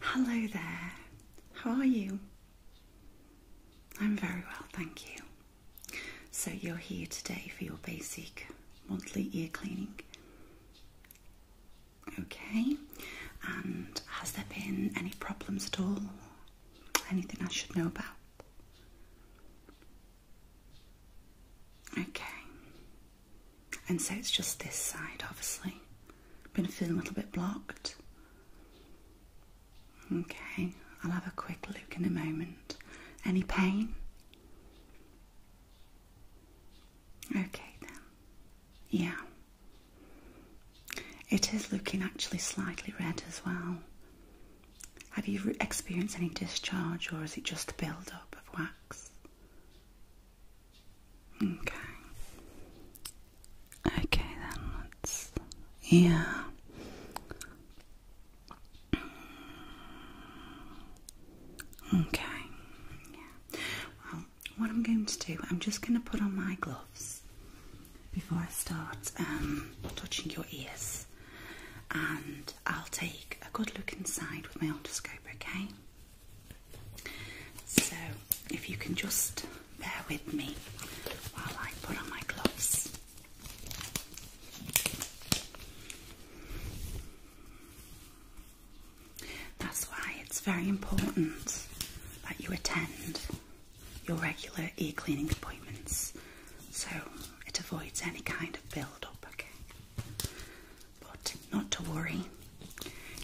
Hello there, how are you? I'm very well, thank you. So, you're here today for your basic monthly ear cleaning. Okay, and has there been any problems at all? Anything I should know about? Okay, and so it's just this side, obviously. Been feeling a little bit blocked. Okay, I'll have a quick look in a moment. Any pain? Okay, then. Yeah. It is looking actually slightly red as well. Have you experienced any discharge or is it just the build up of wax? Okay. Okay then yeah. Okay. Yeah. Well, what I'm going to do, I'm just going to put on my gloves before I start um, touching your ears, and I'll take a good look inside with my otoscope. Okay. So, if you can just bear with me while I put on my gloves. That's why it's very important that you attend your regular ear cleaning appointments so it avoids any kind of build up, okay? But not to worry,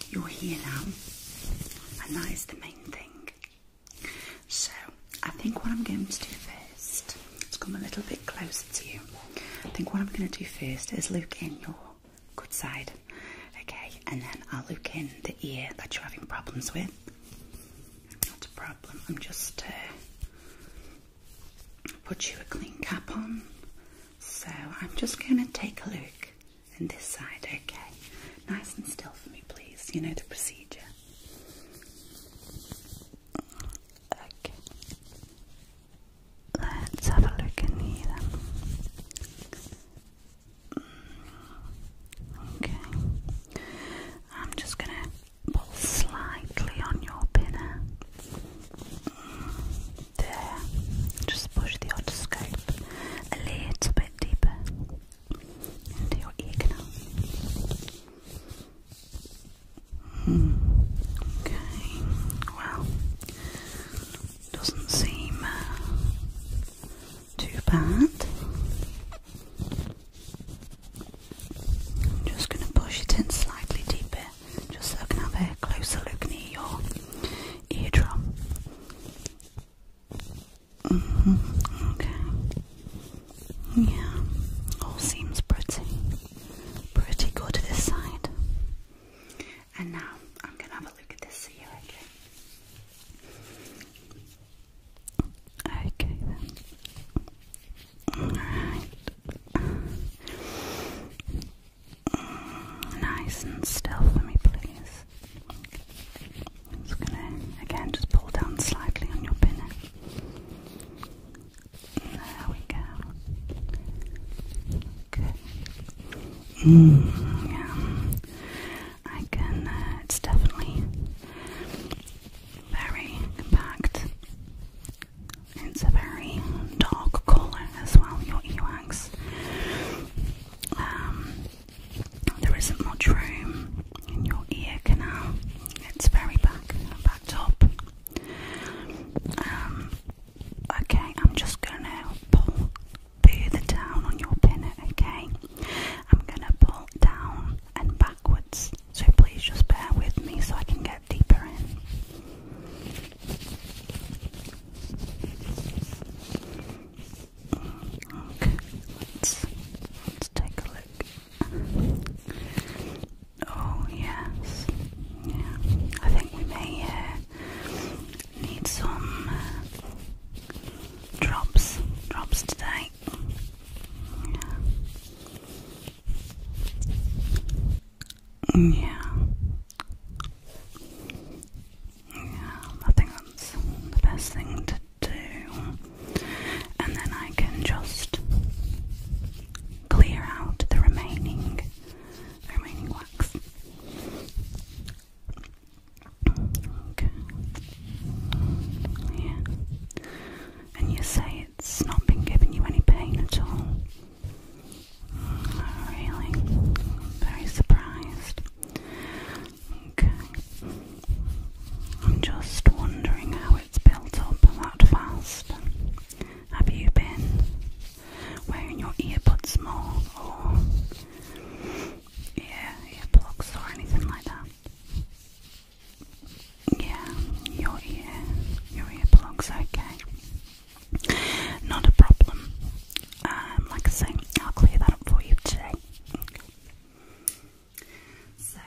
you're here now, and that is the main thing. So, I think what I'm going to do first, come a little bit closer to you. I think what I'm going to do first is look in your good side, okay, and then I'll look in the ear that you're having problems with. Not a problem, I'm just. Uh, Put you a clean cap on, so I'm just going to take a look and this side, okay? Nice and still for me, please. You know the procedure. Okay. Let's have a look in here Okay. I'm just going to pull slightly on your pinna. Uh, just push the otoscope a little bit deeper into your ear canal. Hmm, okay, well, doesn't seem uh, too bad. I'm just going to push it in slightly deeper just so I can have a closer look near your eardrum. Mm-hmm. Okay. Yeah, all seems pretty, pretty good this side. And now I'm gonna have a look at this ear, okay? Okay then. Alright nice and still for me, please. just gonna again just pull down slightly on your pinna. There we go. Good. Mm, yeah. I can. Uh, it's definitely very compact. It's a very dark colour as well, your earwax. Um, there isn't much room in your ear canal. It's very back, backed up. Um, okay, I'm just gonna pull further down on your pinna, okay? I'm gonna pull down and backwards, so please just bear with me so I can get that in. let's, take a look. Oh, yes, yeah, I think we may uh, need some uh, drops, drops today. Yeah. Yeah, I think the best thing to do. And then I can just clear out the remaining remaining wax. Okay. And you say it's not been giving you any pain at all really very surprised. Okay. I'm just wondering how it's built up that fast. Have you been wearing your earbuds more or yeah, earplugs or anything like that? Yeah, your ear, your earplugs, okay. Not a problem. Um, like I say, I'll clear that up for you today. So,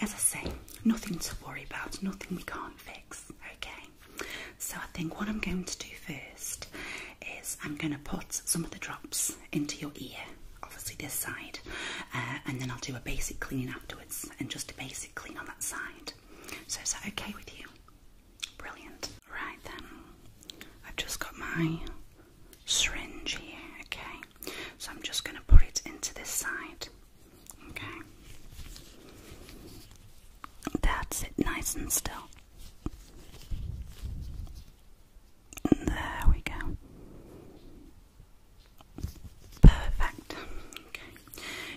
as I say, nothing to worry about, nothing we can't fix, okay? So, I think what I'm going to do first is I'm going to put some of the drops into your ear, obviously this side, uh, and then I'll do a basic cleaning afterwards and just a basic clean on that side. So is that okay with you? Brilliant. Right then, I've just got my syringe here, okay? So I'm just going to put it into this side, okay? That's it, nice and still. There we go. Perfect. Okay.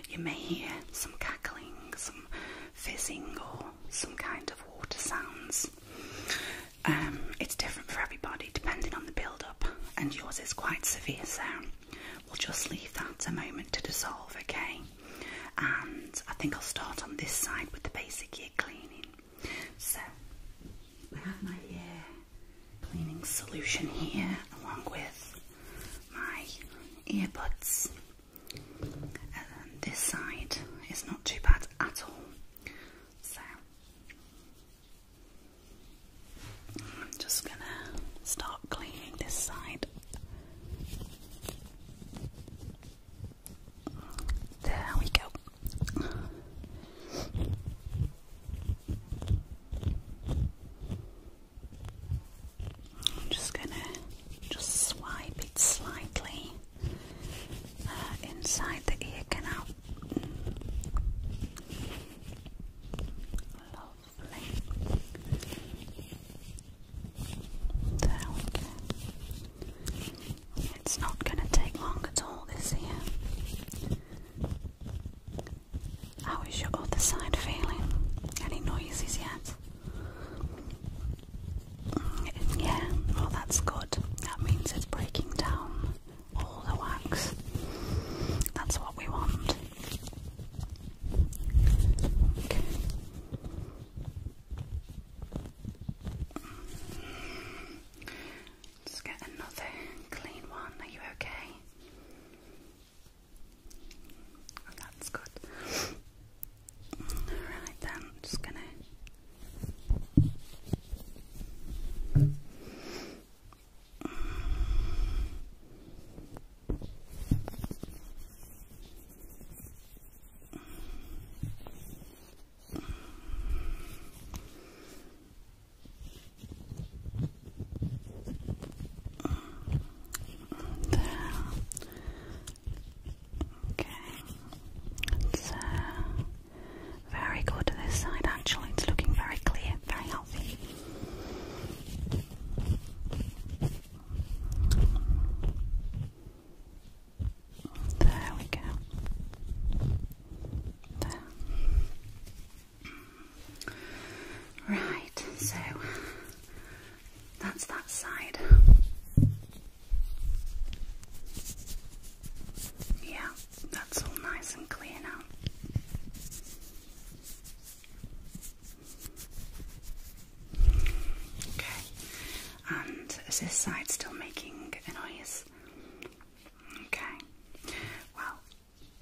You may hear some cackling, some fizzing, or some kind of water sounds. Um, it's different for everybody depending on the build up, and yours is quite severe, so we'll just leave that a moment to dissolve, okay? And I think I'll start on this side with the basic ear cleaning. So I have my ear cleaning solution here, along with my earbuds. Um, this side is not too bad at all. So I'm just going to start cleaning this side. There we go. I'm just going to just swipe it slightly uh, inside the ear canal. Lovely. There It's not going to take long at all this here. How is your other side feeling? Any noises yet? Mm, yeah, well, that's good. That means it's breaking down all the wax. That's what we want. Let's get another clean one. Are you okay? Oh, that's good. Alright then, I'm just gonna Okay. Uh, very good this side actually. It's looking very clear, very healthy. There we go. There. Right, so that's that side. Yeah, that's all nice and clear now. Okay, and is this side still making a noise? Okay, well,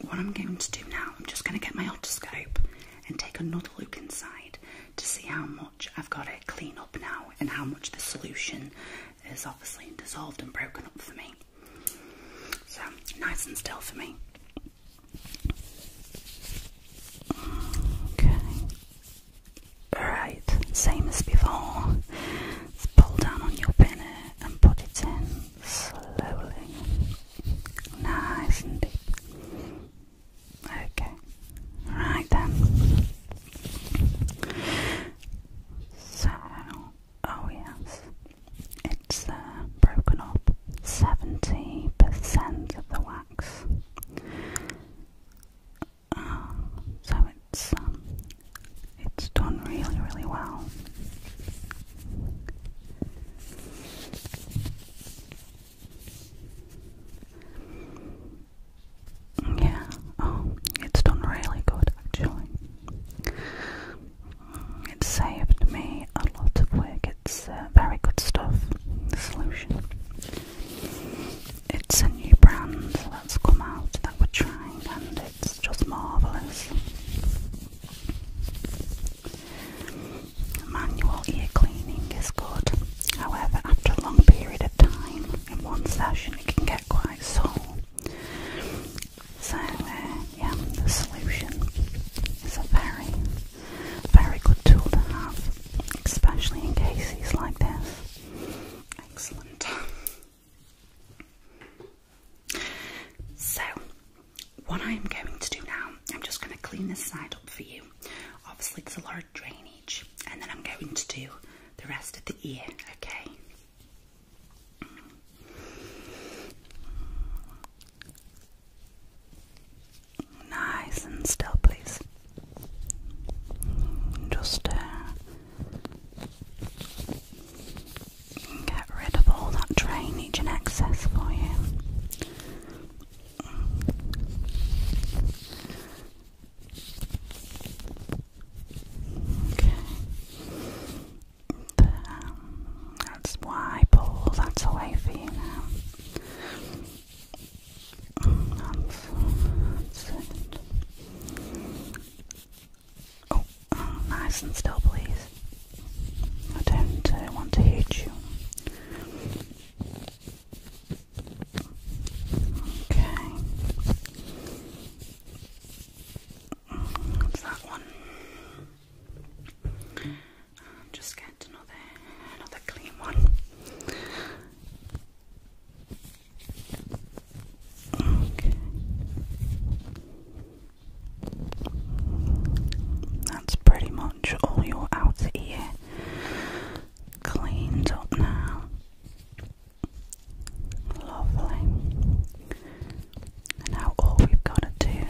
what I'm going to do now, I'm just going to get my otoscope and take another look inside to see how much I've got to clean up now and how much the solution is obviously dissolved and broken up for me. So, nice and still for me. Okay. Alright, same as before. pull down on your pinner and put it in slowly. Nice and deep. Okay. Right then. So, oh yes, it's uh, broken up 70% of the wax. Ah, so it's um, it's done really, really well. Yeah, oh, it's done really good actually. It saved me a lot of work. It's uh, very good stuff, solution. It's a new brand that's come out that we're trying, and it's just marvellous. Manual ear cleaning is good, however, after a long period of time in one session, it can get quite sore. So, uh, yeah, the solution is a very, very good tool to have, especially in cases like this. Excellent. So, what I am going to do now, I'm just going to clean this side up for you. Obviously, there's a lot of drainage, and then I'm going to do the rest of the ear, okay? Nice and still, please. Just uh, can get rid of all that drainage and excess for you. Okay. But, um, that's why I pull that away for you now. That's, that's it. Oh, nice and still, please. I don't uh, want to hurt you. Okay. That's that one. just get another another clean one. Okay. That's pretty much all your outer ear cleaned up now. Lovely. now all we've got to do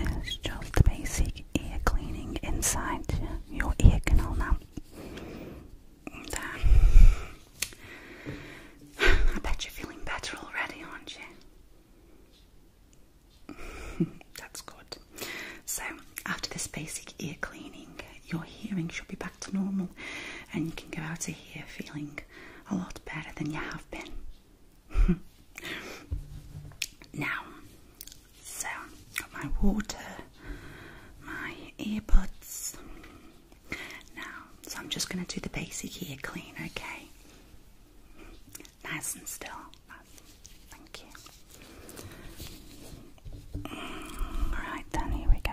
is just basic ear cleaning inside your ear canal now. I bet you're feeling better already, aren't you? That's good. So, after this basic ear cleaning, your hearing should be back to normal and you can go out of here feeling a lot better than you have been. now, so got my water, my earbuds. Now, so I'm just going to do the basic ear clean, okay? Nice and still. Thank you. Alright then, here we go.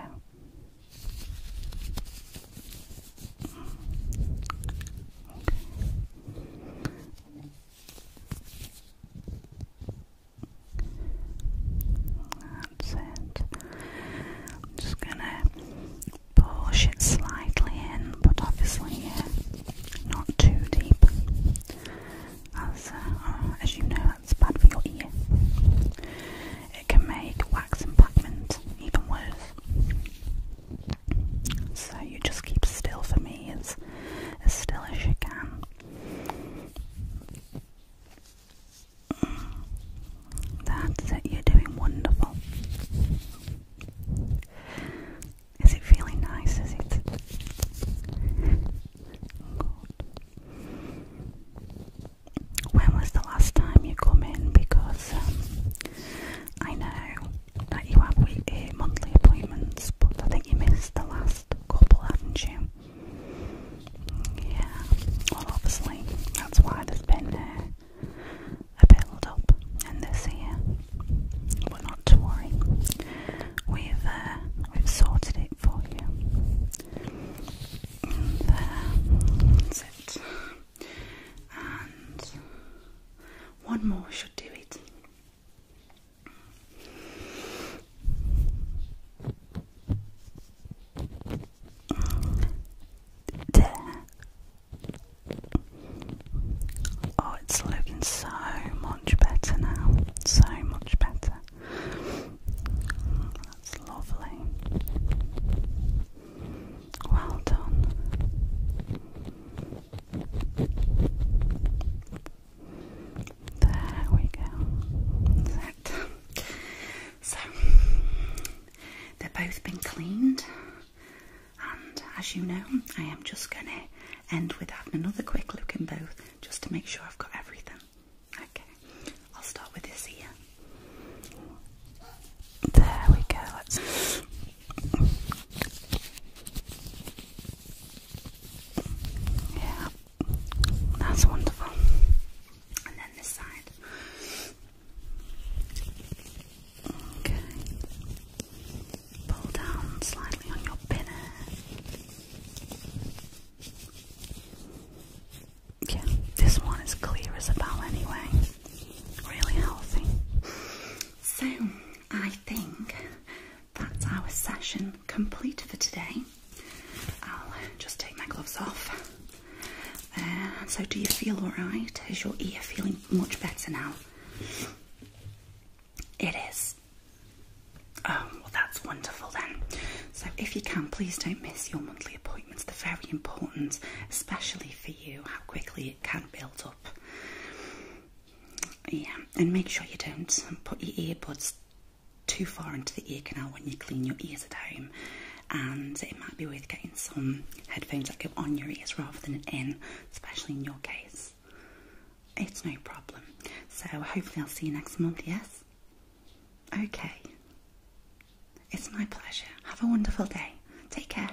That's it. just gonna push it slightly in, but obviously yeah, not too deep, as uh, as you know that's bad for your ear. It can make wax impactment even worse. So you just keep still for me, as as still as you can. That's it, you're doing wonderful. Is it feeling nice? Is it? When was the last time you come in? Because um, I know that you have weekly, eh, monthly appointments, but I think you missed the last couple, haven't you? Yeah. Well, obviously that's why there's been uh, a build up in this year, but not to worry, we've uh, we've sorted it for you. There, that's it. And one more should do it. There. Oh, it's looking so much better now. So much better. That's lovely. Well done. There we go. So, they've both been cleaned. And as you know, I am just going to end with having another quick look in both just to make sure I've got everything. Okay, I'll start with this ear. There we go. Yeah, that's wonderful. And then this side. Okay. Pull down slightly on your pinner. Yeah, this one is clear as a bell anyway. Really healthy. So, I think that's our session complete for today. I'll just take my gloves off uh, so, do you feel alright? Is your ear feeling much better now? It is. Oh, well, that's wonderful then. So, if you can, please don't miss your monthly appointments. They're very important, especially for you, how quickly it can build up. Yeah, and make sure you don't put your earbuds too far into the ear canal when you clean your ears at home and it might be worth getting some headphones that go on your ears rather than in, especially in your case. It's no problem. So hopefully I'll see you next month, yes? Okay. It's my pleasure. Have a wonderful day. Take care.